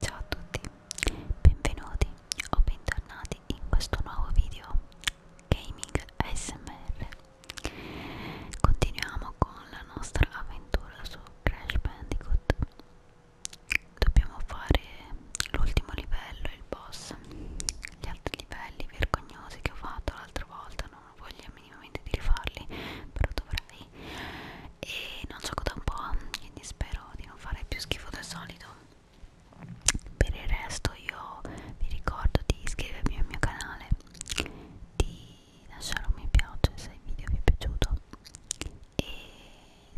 Ciao a tutti, benvenuti o bentornati in questo nuovo video Gaming ASMR Continuiamo con la nostra avventura su Crash Bandicoot Dobbiamo fare l'ultimo livello, il boss Gli altri livelli vergognosi che ho fatto l'altra volta non ho voglia minimamente di rifarli Però dovrei e non gioco da un po', quindi spero di non fare più schifo del solito. Per il resto io vi ricordo di iscrivervi al mio canale, di lasciare un mi piace se il video vi è piaciuto e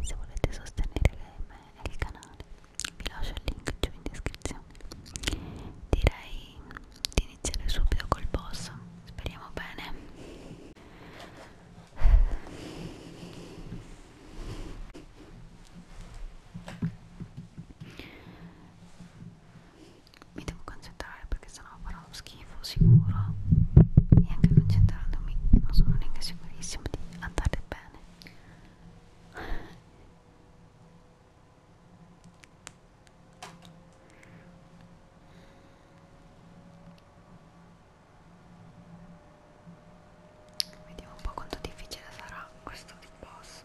se volete sostenere me e il canale vi lascio il link giù in descrizione. Direi di iniziare subito col boss, speriamo bene mi devo concentrare perché sennò farò uno schifo sicuro e anche concentrandomi non sono neanche sicurissima di andare bene Vediamo un po' quanto difficile sarà questo boss.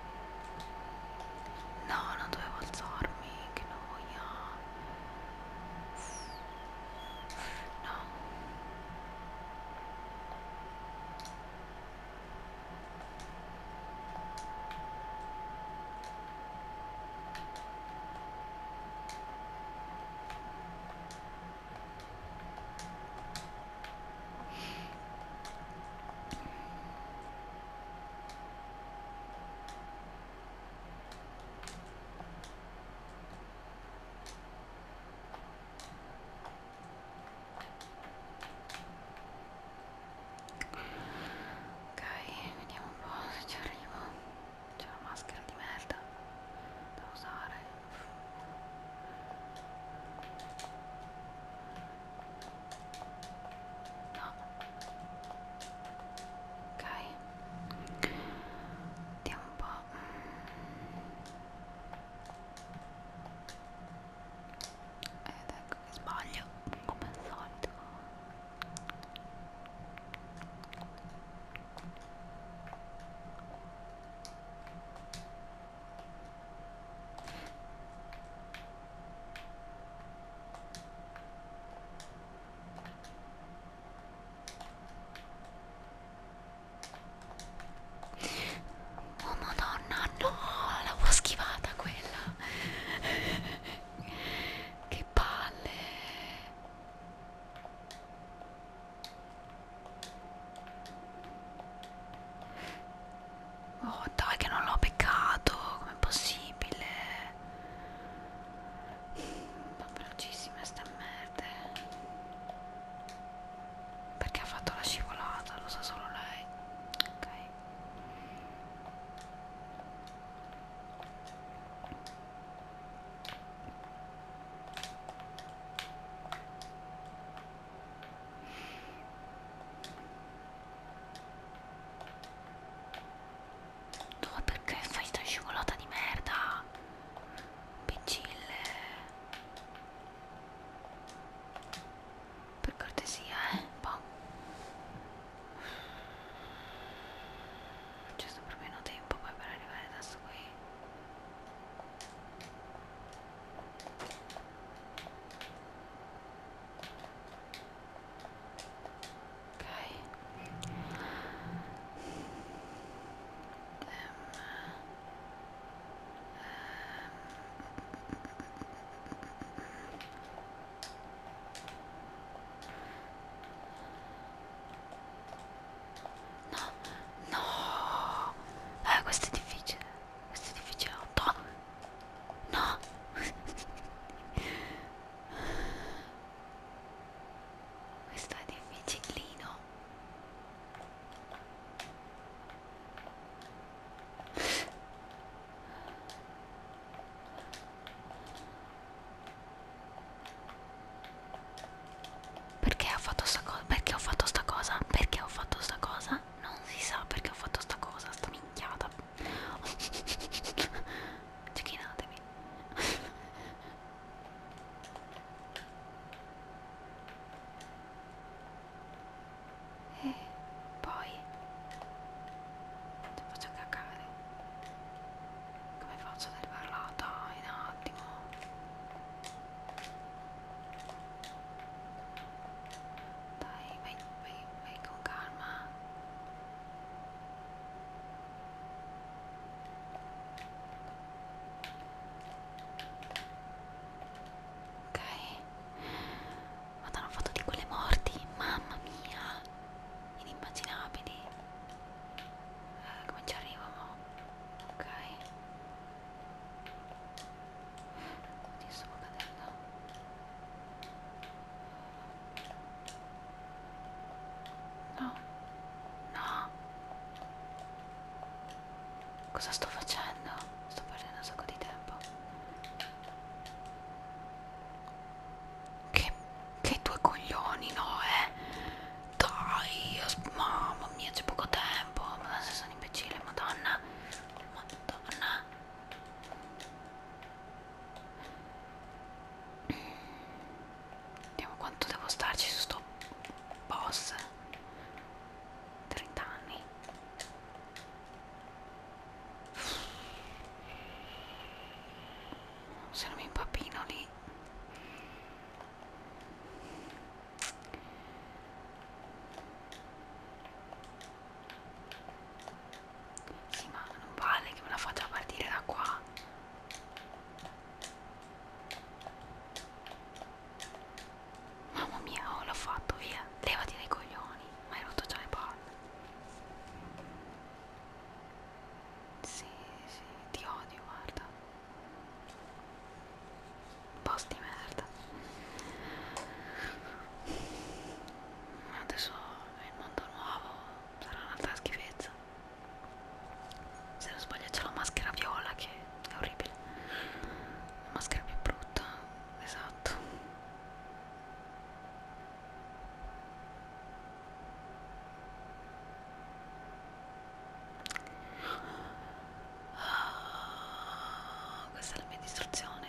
No, non dovevo alzarmi, che noia. No. Ok, vediamo un po' se ci arrivo. C'è una maschera di merda da usare. No. Ok. Vediamo un po'. Ed ecco che sbaglio, come al solito. Ok, Oh madonna, no, l'avevo schivata quella. che palle. Oh dai che non l'ho beccato, com'è possibile? Ma velocissima sta merda. Eh. Perché ha fatto la scivolata, lo sa solo lei. Ok. Tu perché fai sta scivolata di merda? Piccille. Per cortesia, eh? Boh. C'è stato proprio meno tempo poi per arrivare da su qui ok um, um. no no eh, questo è difficile questo è difficile 8 No! Questo è difficilino. Perché ho fatto sta cosa? Perché ho fatto sta cosa? Perché ho fatto sta cosa? Non si sa perché ho fatto sta cosa, sta minchiata. Cecchinatemi. e poi ti faccio cacare. Come faccio ad arrivarla? Dai, un attimo. Dai, vai, vai, vai con calma. Ok. Madonna, ho fatto di quelle morti, mamma mia. Inimmaginabili. Eh, come ci arrivo? Ok bruttissimo cadere là no no cosa sto facendo? sto perdendo un sacco di tempo che, che due coglioni no eh dai mamma mia c'è poco tempo ma se sono imbecille madonna madonna Vediamo quanto devo starci su sto boss 30 anni se non mi impappino lì sì, ma non vale che me la faccia partire da qua. Mamma mia, oh, l'ho fatto, via. Levati dai coglioni, ma hai rotto già le palle. Sì, sì, ti odio, guarda. Posti merda adesso il mondo nuovo sarà un'altra schifezza se non sbaglio c'è la maschera viola che è orribile la maschera più brutta esatto Oh, questa è la mia distruzione.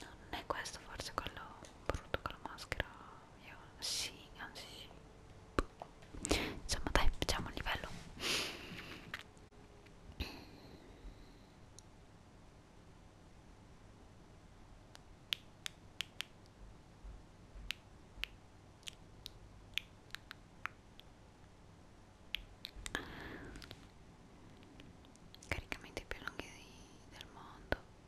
No, non è questo forse quello brutto con la maschera. Io, sì, anzi, sì. diciamo dai, facciamo il livello. Caricamenti più lunghi del mondo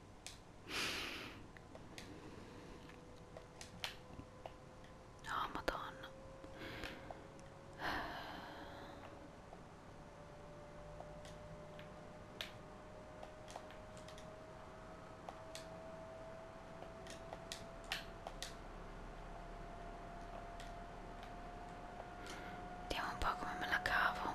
No, madonna. Vediamo un po' come me la cavo.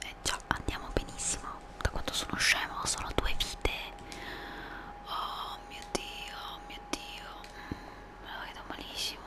E eh già andiamo benissimo. Da quanto sono scemo, sono due vite. Oh mio dio, oh mio dio. Mm, me lo vedo malissimo.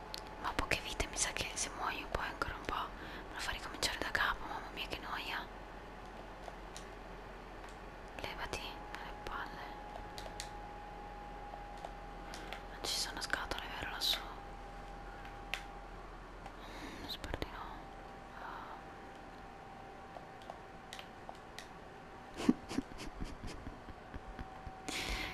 ma poche vite mi sa che se muoio poi ancora un po' me lo fa ricominciare da capo mamma mia che noia levati dalle palle non ci sono scatole vero lassù mm, spero di no oh.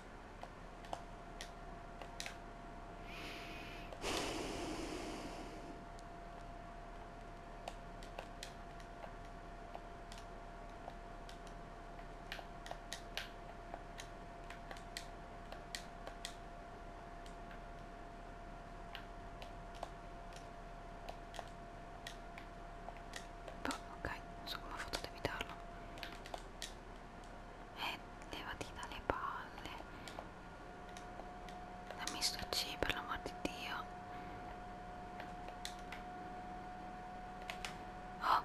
Boh, ok, non so come ho fatto ad evitarlo e levati dalle palle dammi sto C per l'amor di Dio oh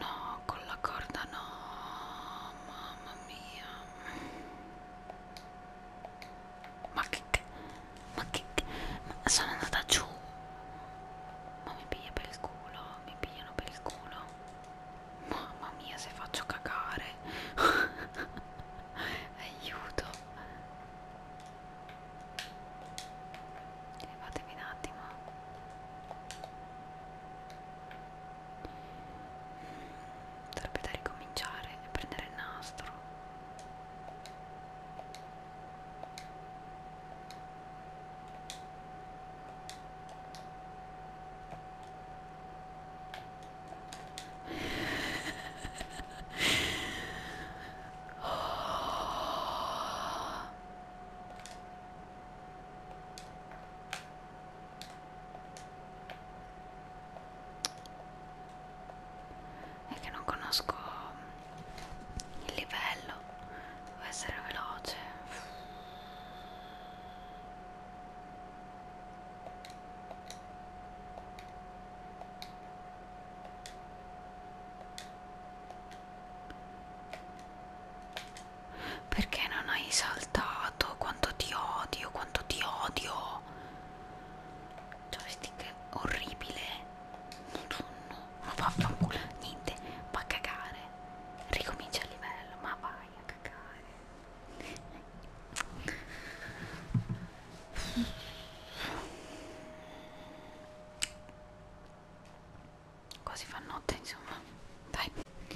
No, con la corda no, mamma mia. Ma che... Ma che... Ma sono andata giù. Ma mi piglia per il culo, mi pigliano per il culo. Mamma mia, se faccio cagare. Aiuto. Levatevi un attimo. Sarebbe da ricominciare e prendere il nastro. oh. è che non conosco il livello devo essere veloce perché non hai saltato? Quanto ti odio, quanto ti odio. Joystick orribile. Non fa culo, niente, va a cagare. Ricomincia il livello, ma vai a cagare quasi fa notte insomma dai Ecco.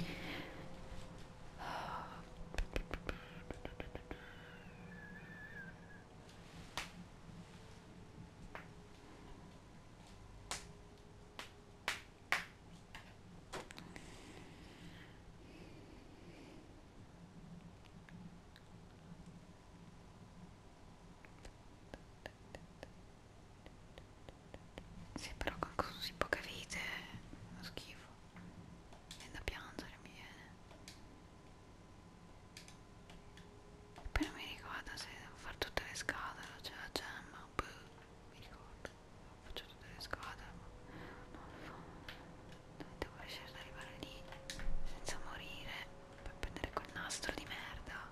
Sì, però con così poche vite è uno schifo. È da piangere, mi viene. E poi non mi ricordo se devo fare tutte le scatole, c'è la gemma, boh, mi ricordo. Faccio tutte le scatole, ma non lo so. Devo riuscire ad arrivare lì senza morire per prendere quel nastro di merda.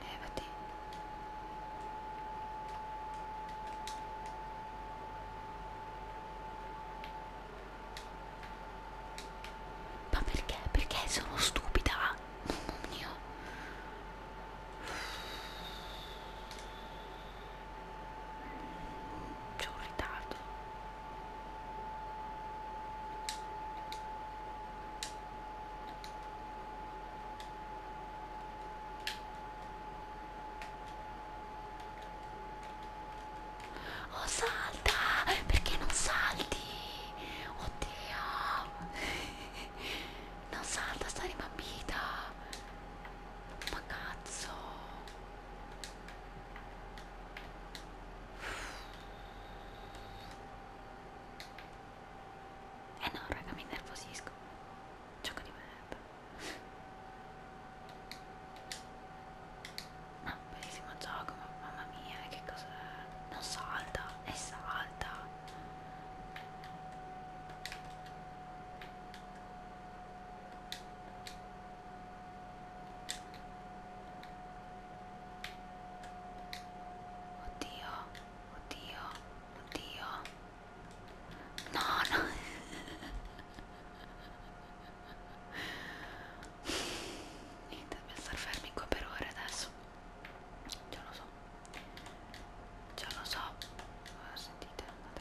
Levati. Eh, Ma perché? Perché sono stupida? Mamma mia c'è un ritardo oh salta perché non salti oddio non salta sta rimampita ma cazzo eh no, raga, mi nervosisco. Gioco di merda. No, bellissimo gioco, ma mamma mia, eh, che cos'è? Non salta, e salta. Oddio, oddio, oddio. No, no. Niente, devo star fermi qua per ore adesso. Già lo so. Già lo so. Sentite, andate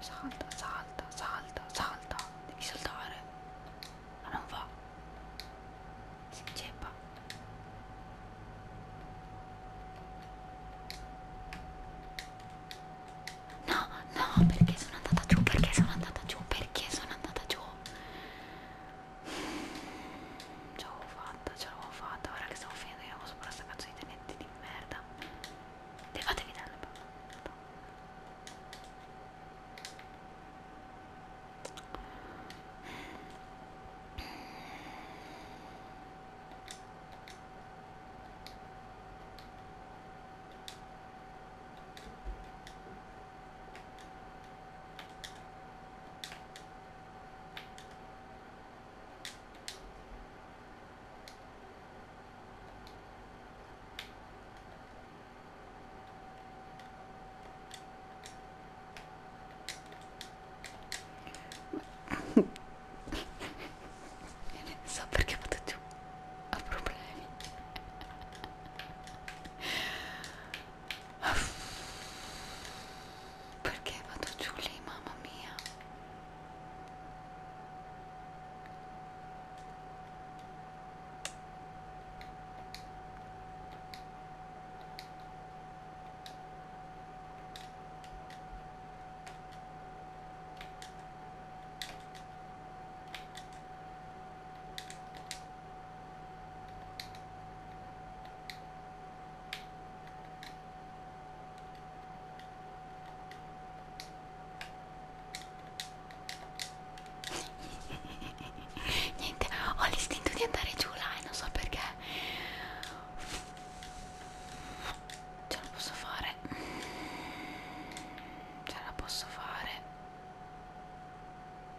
Salta, salta, salta, salta. Devi saltare. Ma non va. Si inceppa. No, no, perché sono andata giù, perché sono andata giù, perché sono andata giù ce l'avevo fatta, ce l'avevo fatta, ora che stiamo finendo io non sopra questa cazzo di tenente di merda. Levatevi dalle palle so perché potete ho problemi perché vado giù lì, mamma mia? Niente, ho l'istinto di andare giù là e non so perché. Ce la posso fare. Ce la posso fare.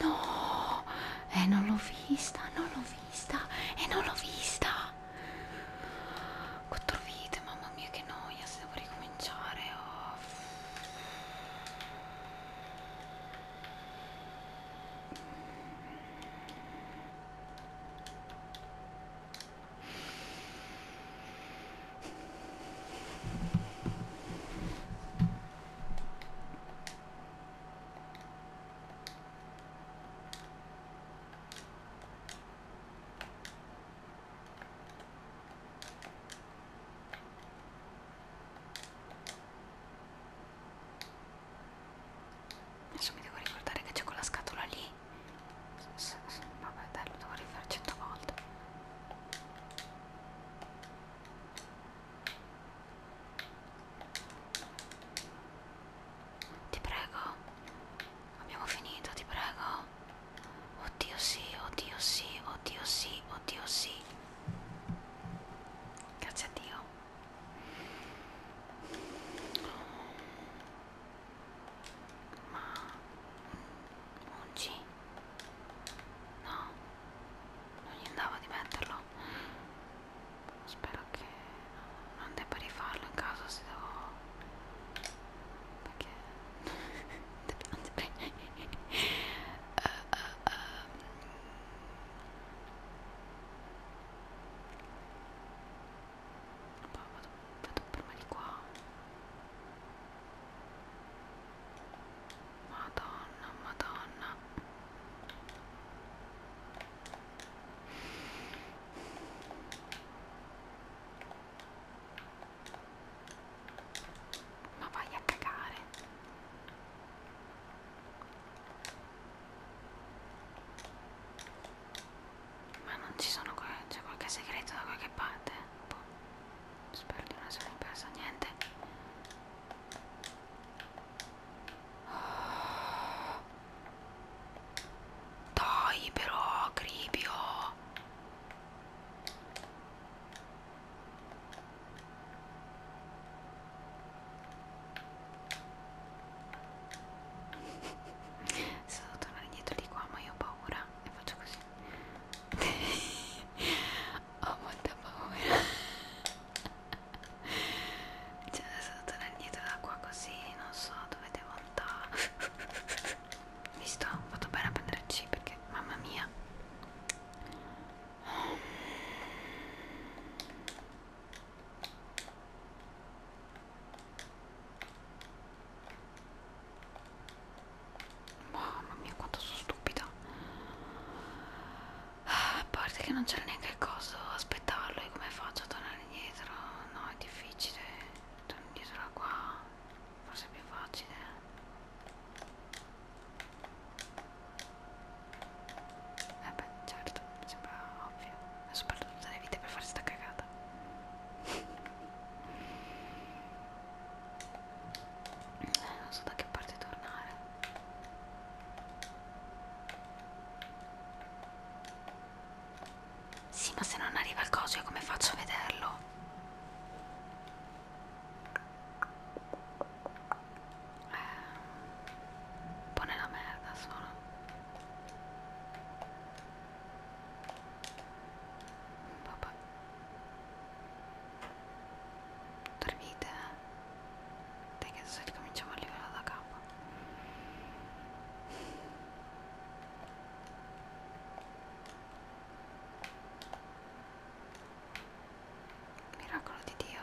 No, eh, non l'ho vista, non l'ho vista, e eh, non l'ho vista. Quattro vite, mamma mia che noia, se devo ricominciare. Oh. Adesso mi devo ricordare che c'è quella scatola lì Vabbè dai, lo devo rifare cento volte. Ti prego. Abbiamo finito, ti prego. Oddio sì, oddio sì, oddio sì, oddio sì. Grazie a Dio ma ungi? no non gli andava di metterlo spero che non debba rifarlo in caso se devo perché anzi uh, uh, uh. Poi vado, vado prima di qua. Madonna, madonna. Ma vai a cagare. Ma non ci sono qua, c'è qualche segreto da qualche parte? Boh. Spero di non essermi persa niente. Oh. Dai però, Cribio! Sono tornare indietro di qua, ma io ho paura paura e faccio così ho molta paura cioè adesso tornare indietro da qua così non so dove devo andare visto? ho fatto bene a prendere C perché mamma mia Mamma mia quanto sono stupida ah, A parte che non c'era neanche il coso Aspettarlo e come faccio a tornare indietro No è difficile Torno indietro da qua Forse è più facile Eh beh certo Mi sembra ovvio Ho sperduto tutte le vite per fare sta cagata puntata. Eh, non so da che parte tornare. Sì, ma se non arriva il coso, io come faccio a vederlo? Eh, un po' nella merda sono Baba. Dormite, eh? Dai che adesso ricominciamo a livello da capo. Miracolo di Dio.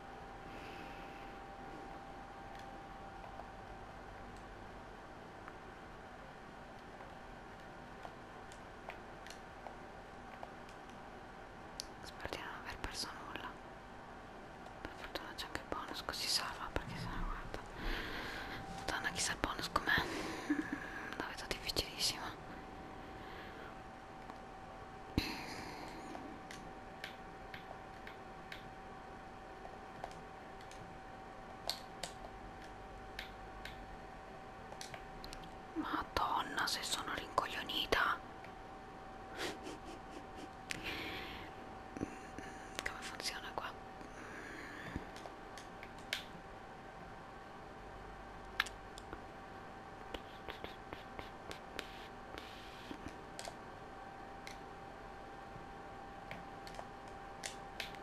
Spero di non aver perso nulla. Per fortuna c'è anche il bonus così salva perché se no guarda. Madonna chissà il bonus com'è. La vedo difficilissima. Madonna, se sono rincoglionita. Come funziona qua?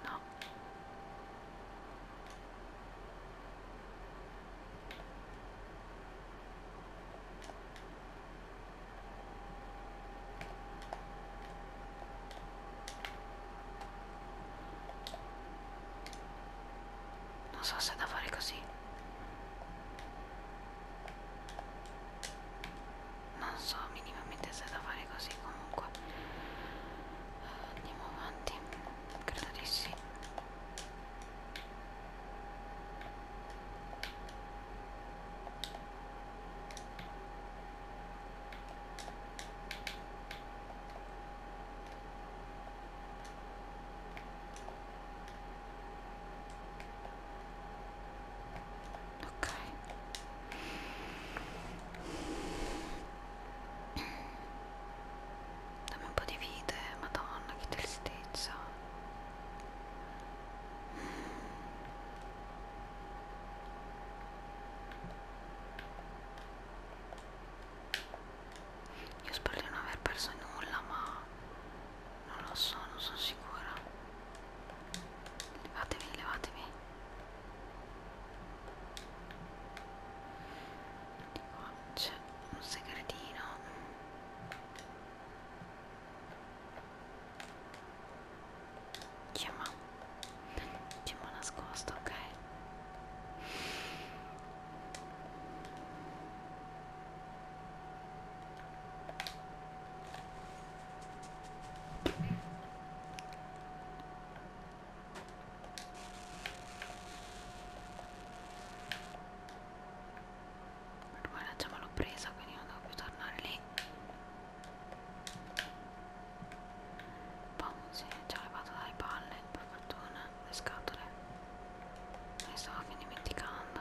No. Non so se è da fare così non so minimamente se da fare così comunque andiamo avanti credo di sì ok dammi un po' di vite madonna che tristezza io spero di non aver perso nulla ma non lo so, non sono sicura. Levatemi, levatemi. Di qua c'è un segretino. Chiama. Chiama nascosto, ok? per me la già l'ho presa quindi non devo più tornare lì Pom boh, si è già levato dalle palle per fortuna le scatole me ne stavo fin dimenticando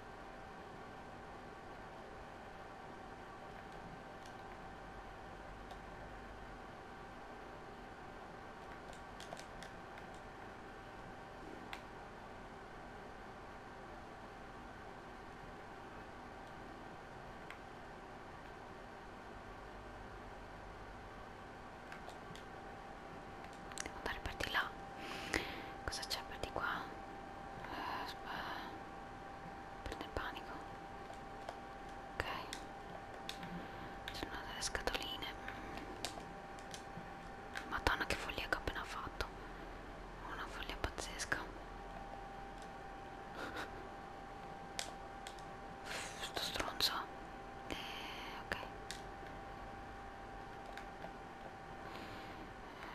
Devo andare per di là. Cosa c'è per di qua? Eh, prende il panico ok c'è una delle scatoline madonna che follia che ho appena fatto una follia pazzesca sto stronzo eh, ok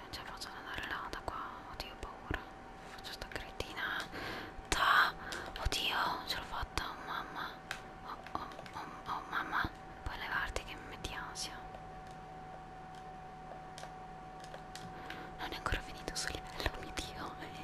Ce cioè, la faccio andare là da qua, oddio ho paura, faccio sta cretina. Ta! Oddio, ce l'ho fatta, oh mamma. Oh, oh, oh, oh mamma, puoi levarti che mi metti ansia. Non è ancora finito sul livello, mio dio.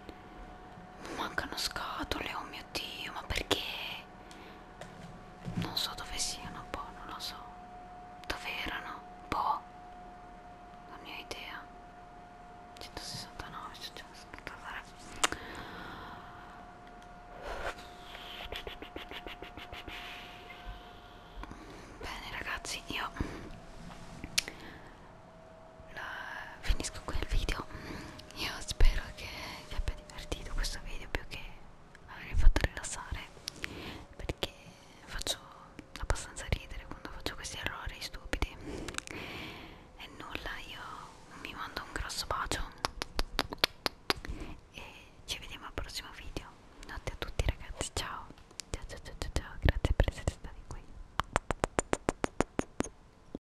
Mancano scatole, oh mio dio, ma perché? Non so dove siano, boh, non lo so. Dove erano? Boh, non ne ho idea. 169, 169. Bene ragazzi, io la finisco qui il video io spero che vi abbia divertito questo video più che avervi fatto rilassare perché faccio abbastanza ridere quando faccio questi errori stupidi e nulla io mi mando un grosso bacio e ci vediamo al prossimo video notte a tutti ragazzi ciao ciao ciao ciao ciao, ciao. grazie per essere stati qui